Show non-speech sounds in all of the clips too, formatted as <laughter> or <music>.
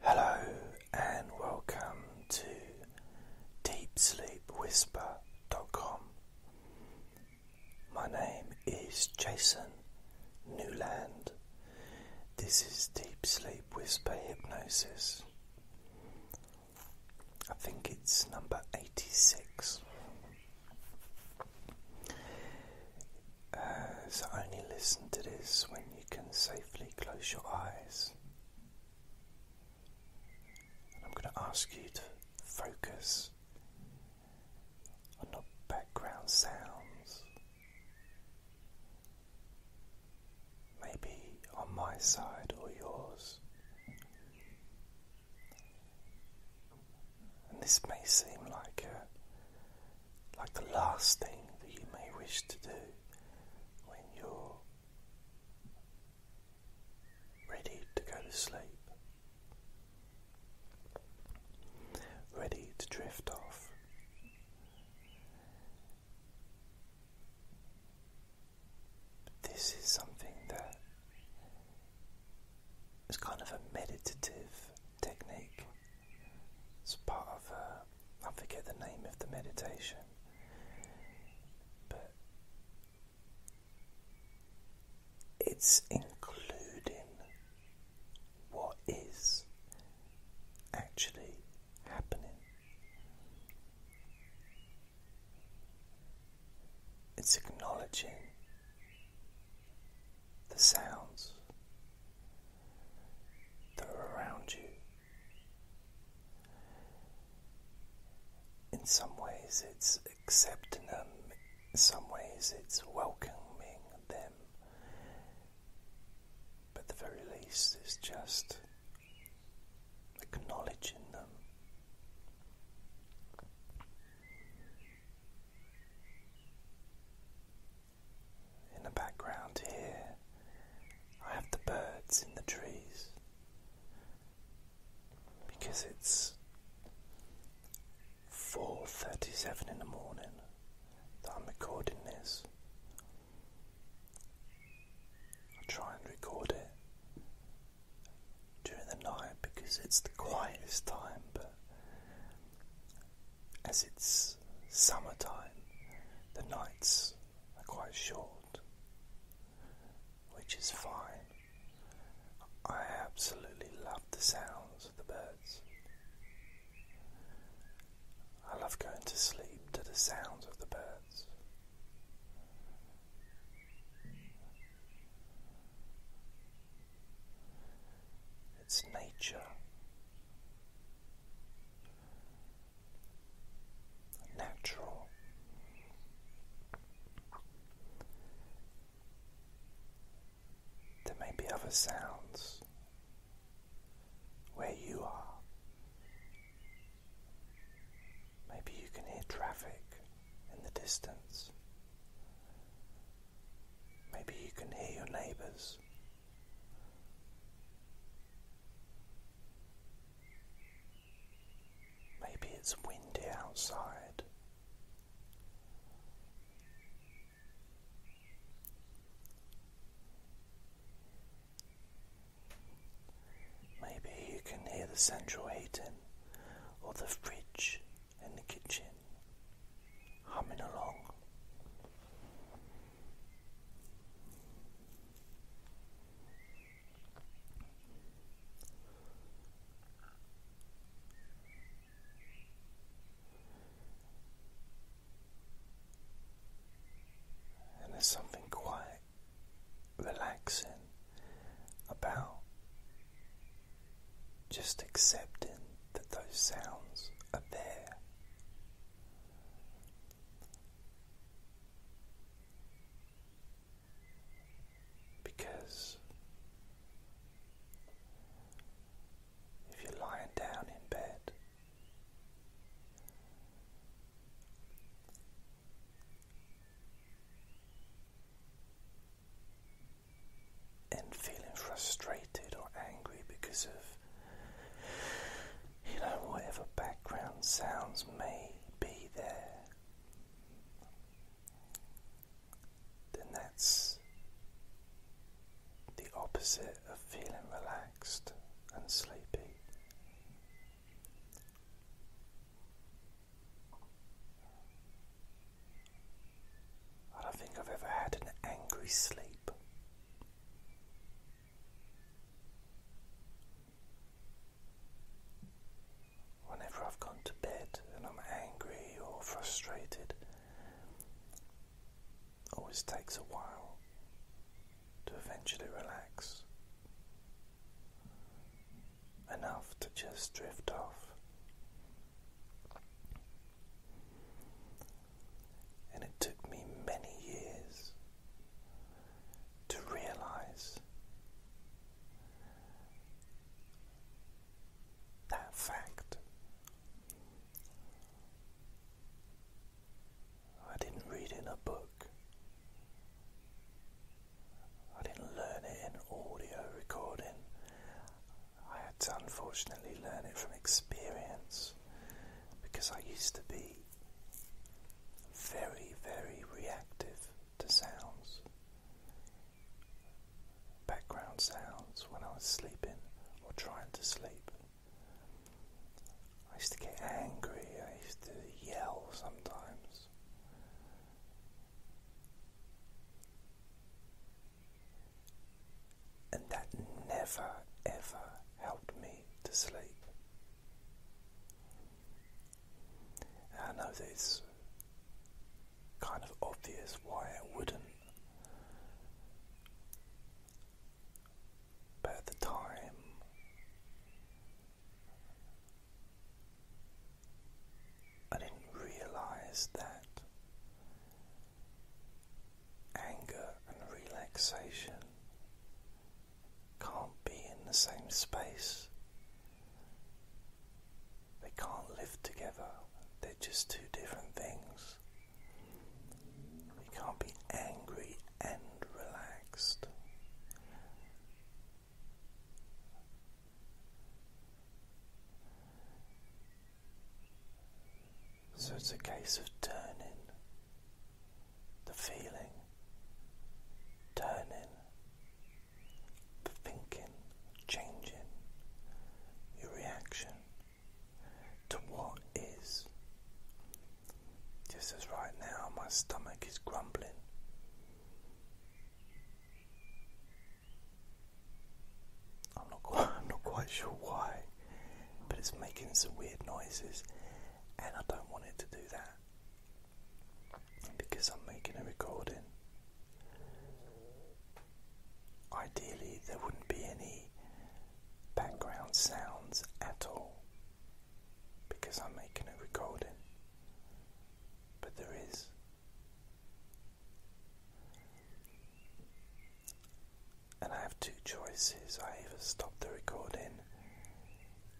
Hello and welcome to DeepSleepWhisper.com. My name is Jason Newland. This is Deep Sleep Whisper Hypnosis. I think it's number 86. Uh, so only listen to this when you can safely close your eyes. I'm going to ask you to focus on the background sounds. Maybe on my side or yours. And this may seem like a like the last thing that you may wish to do when you're ready to go to sleep, ready to drift off. This is something that is kind of a meditative technique it's part of, uh, I forget the name of the meditation, but it's including what is actually happening. It's acknowledging the sounds, that are around you. In some ways, it's accepting them, in some ways, it's welcoming them. But the very least, it's just acknowledging them. In the background here, I have the birds in the trees because it's 4:37 in the morning that I'm recording this. I try and record it during the night because it's the quietest time, but as it's summertime, the nights are quite short, which is fine. I absolutely love the sounds of the birds. I love going to sleep to the sounds of the birds its nature, natural. There may be other sounds where you are. Maybe you can hear traffic in the distance. Maybe you can hear your neighbours Maybe it's windy outside. Maybe you can hear the central heating or the fridge in the kitchen humming along. And there's something quite relaxing about just accepting that those sounds are there. Because if you're lying down in bed, and feeling frustrated or angry because of you know whatever background sounds may be there, then that's the opposite of feeling relaxed and sleepy. I don't think I've ever had an angry sleep. Whenever I've gone to bed and I'm angry or frustrated, always takes a while to eventually relax enough to just drift off. And it took me many years to realize that fact. I didn't read in a book. I didn't learn it in audio recording. I had to unfortunately learn it from experience because I used to be very, very reactive to sounds, background sounds when I was sleeping or trying to sleep. I used to get angry, I used to yell sometimes and that never ever helped me to sleep. I know that it's kind of obvious why it wouldn't, but at the time I didn't realize that anger and relaxation can't be in the same space. They can't live together. They're just two different things. You can't be angry and relaxed. So it's a case of turning the feeling, turning the thinking, changing your reaction to what is. Just as right now my stomach is grumbling. I'm not quite, sure why, but it's making some weird noises, and I don't want it to do that because I'm making a recording. Ideally, there wouldn't be any background sounds at all because I'm making a recording, but there is. And I have two choices. I either stop the recording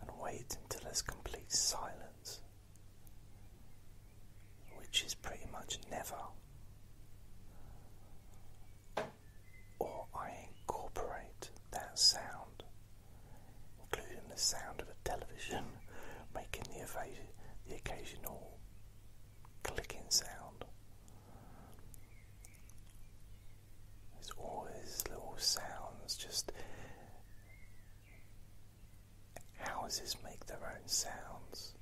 and wait until there's complete silence, which is pretty much never, or I incorporate that sound, including the sound of a television <laughs> making the, the occasional clicking sound. There's all these little sounds, just houses make their own sounds.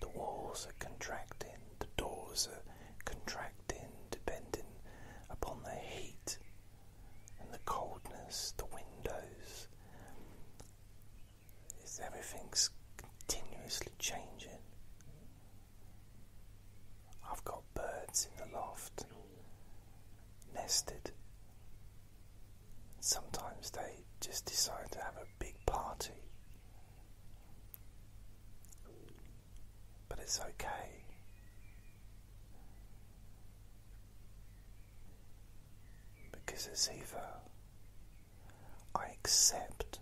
The walls are contracting, the doors are contracting, depending upon the heat and the coldness, the windows is everything's continuously changing. I've got birds in the loft, nested. Sometimes they just decide to have a big party. But it's okay. Because it's either I accept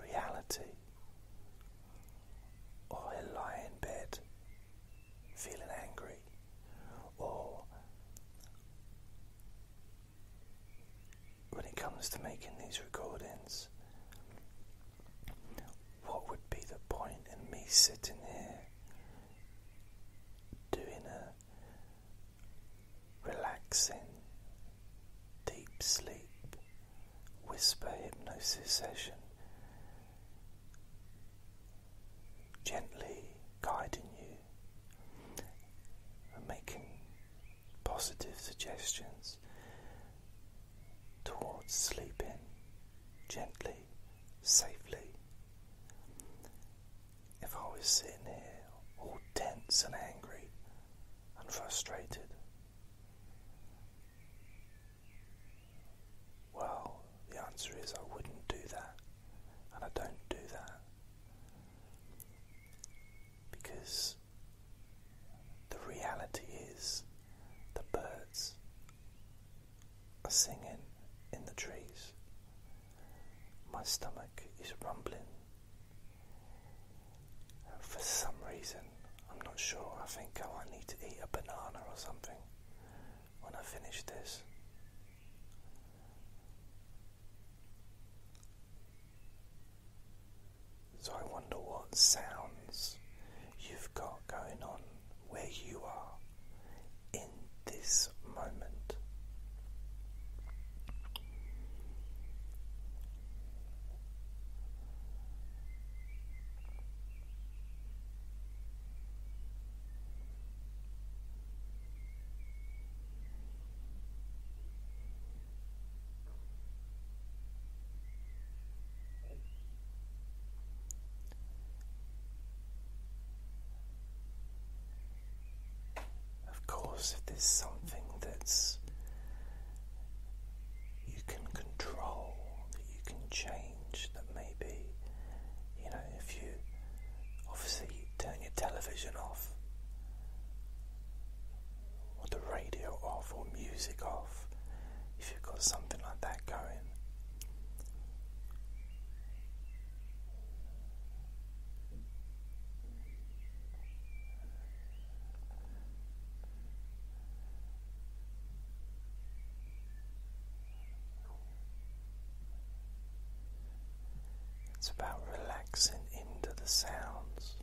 reality, or I lie in bed feeling angry, or when it comes to making these recordings, what would be the point in me sitting here doing a relaxing deep sleep whisper hypnosis session, gently guiding you and making positive suggestions towards sleeping gently, safely if I was sitting here all tense and angry and frustrated? Well, the answer is I wouldn't do that, and I don't do that because the reality is the birds are singing in the trees. My stomach is rumbling. For some reason, I'm not sure, I think I need to eat a banana or something when I finish this. So I wonder what sounds you've got going on where you are in this moment. Of course, if there's something that's you can control, that you can change, that maybe, you know, if you obviously turn your television off or the radio off or music off, if you've got something like that going, it's about relaxing into the sounds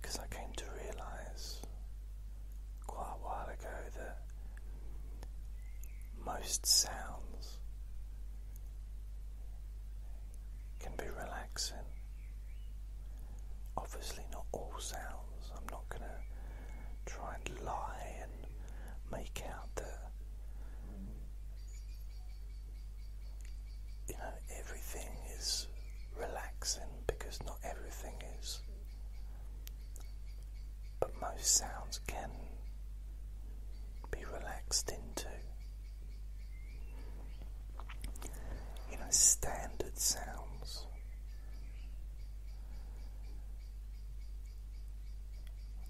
because I came to realize quite a while ago that most sounds can be relaxing. Obviously, not all sounds. I'm not going to try and lie and make out that you know, everything is relaxing because not everything is. But most sounds can be relaxed into. You know, standard sounds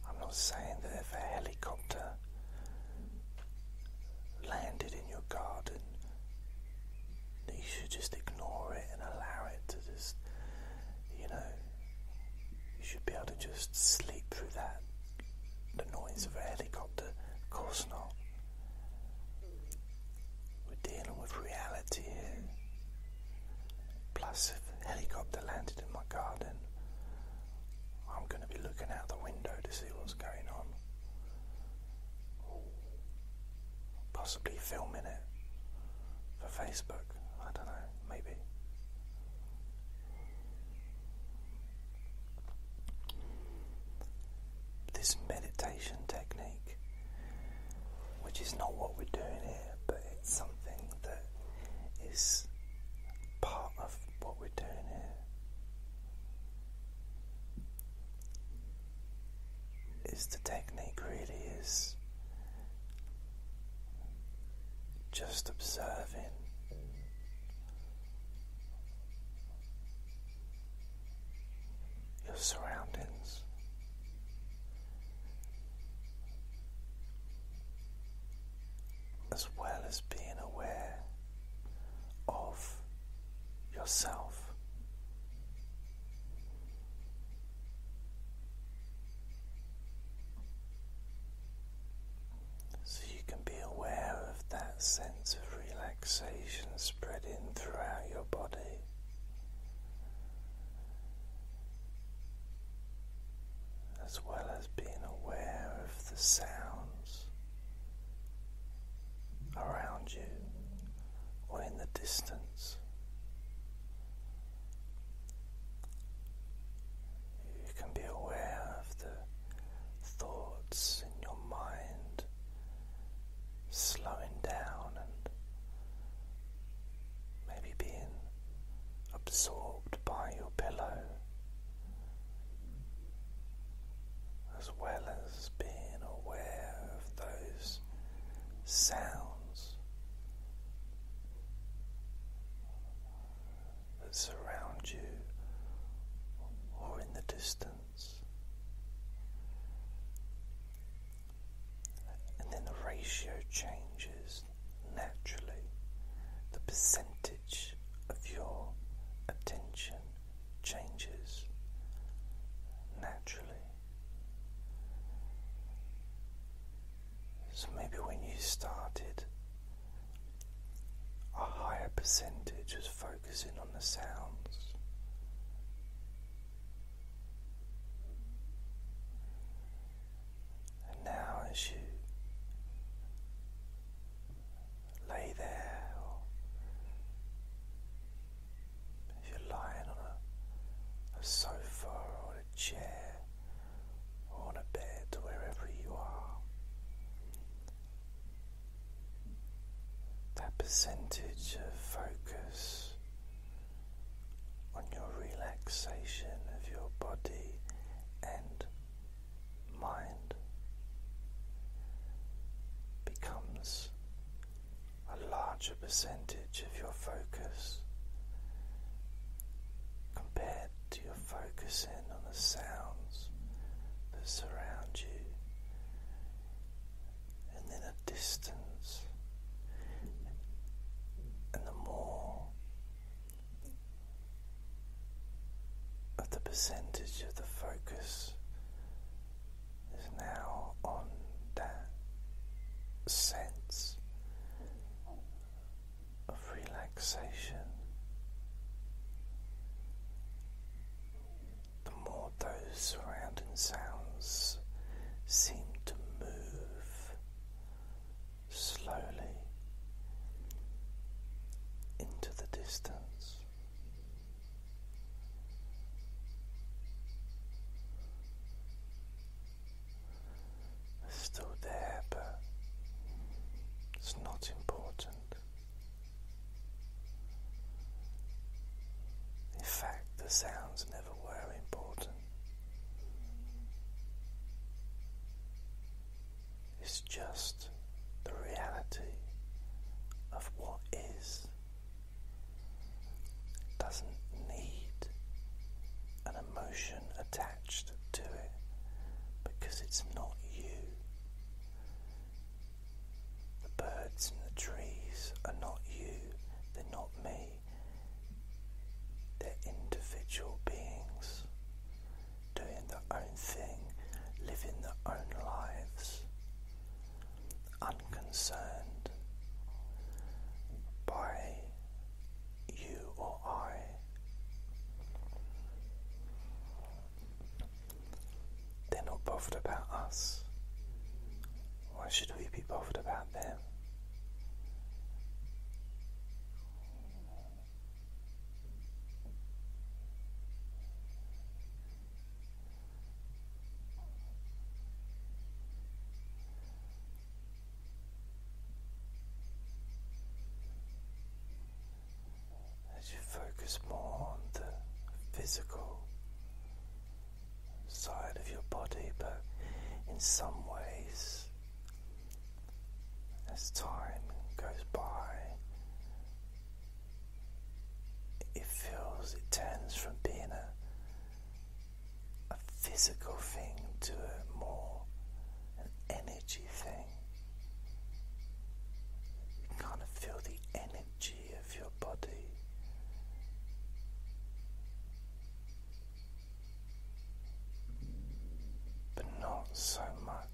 I'm not saying that if a helicopter landed in your garden you should just ignore it and allow it to just, you know, you should be able to just sleep through that, the noise of a helicopter. Of course not. We're dealing with reality here. Plus, if a helicopter landed in my garden, I'm going to be looking out the window to see what's going on. Possibly filming it for Facebook. I don't know, maybe. This meditation technique, which is not what we're doing here, but it's something that is part of what we're doing here is the technique really is just observing your surroundings. As well as being aware of yourself. So you can be aware of that sense of relaxation spreading throughout your body. As well as being aware of the sounds around you or in the distance. You can be aware of the thoughts in your mind slowing down and maybe being absorbed by your pillow as well as being aware of those sounds that surround you or in the distance. And then the ratio changes naturally, the percentage of your attention changes naturally. So maybe when you started, a higher percentage was focusing on the sounds. And now, as you lay there, or if you're lying on a, sofa or a chair or a bed, wherever you are, that percentage of focus on your relaxation of your body and mind becomes a larger percentage of your focus compared to your focus in on the sounds that surround you, and then a distance, and the more of the percentage of the focus is now on that sense of relaxation. The more those surrounding sounds seem to move slowly into the distance still there, but it's not important. In fact, the sounds never were important just the reality of what is. doesn't need an emotion attached to it because it's not you. The birds and the trees are not you, they're not me. They're individual beings doing their own thing, living their own lives, unconcerned by you or I. They're not bothered about us. Why should we be bothered about them? As you focus more on the physical side of your body, but in some ways as time goes by, it feels it turns from being a, physical thing to a more an energy thing. You kind of feel the energy of your body. But not so much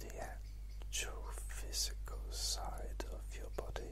the actual physical side of your body.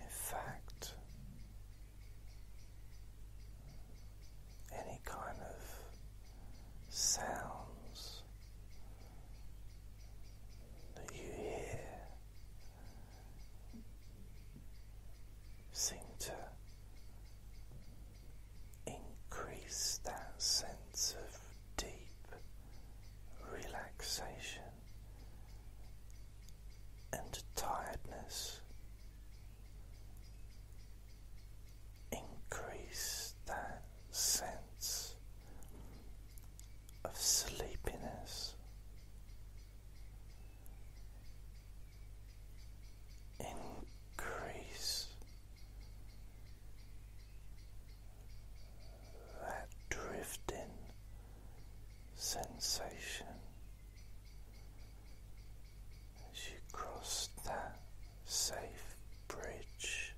In fact, any kind of sounds that you hear seem to increase that sense of deep relaxation and tiredness. Increase that sense of sleepiness. Increase that drifting sensation as you cross that safe bridge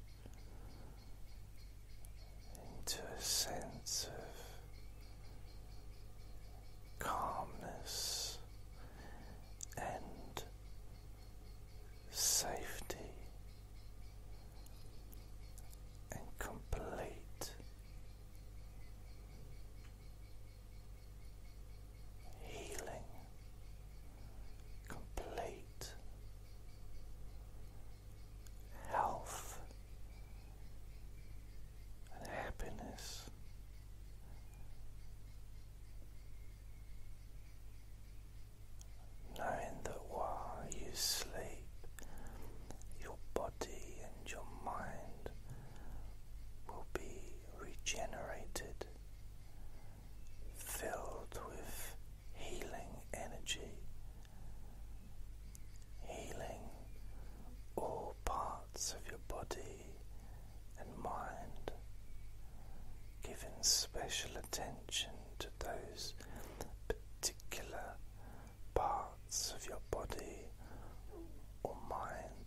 into a sense of calmness and safety and complete healing, complete health and happiness knowing that while you sleep, your body and your mind will be regenerated, filled with healing energy, healing all parts of your body and mind, giving special attention to those particular parts of your body or mind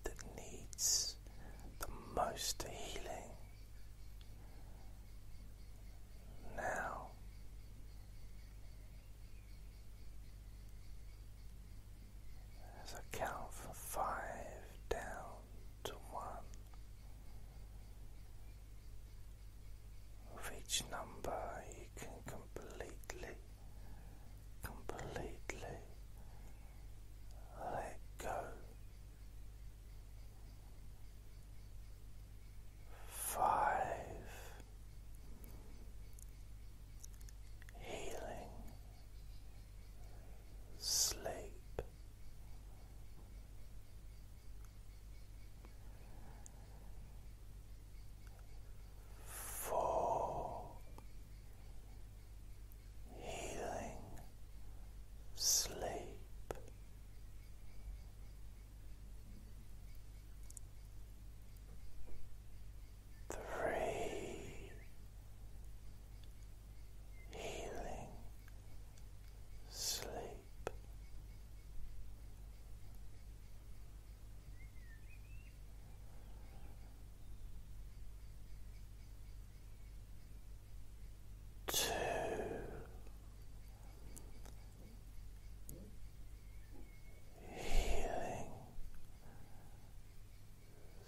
that needs the most healing. Now, as I count from five down, to one of each number you can completely, completely let go. Five healing sleep. Four healing sleep. Three healing sleep. Two. Healing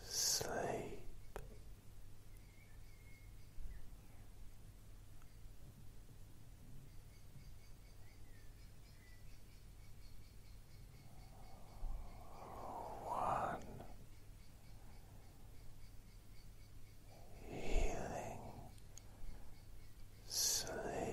sleep one healing sleep.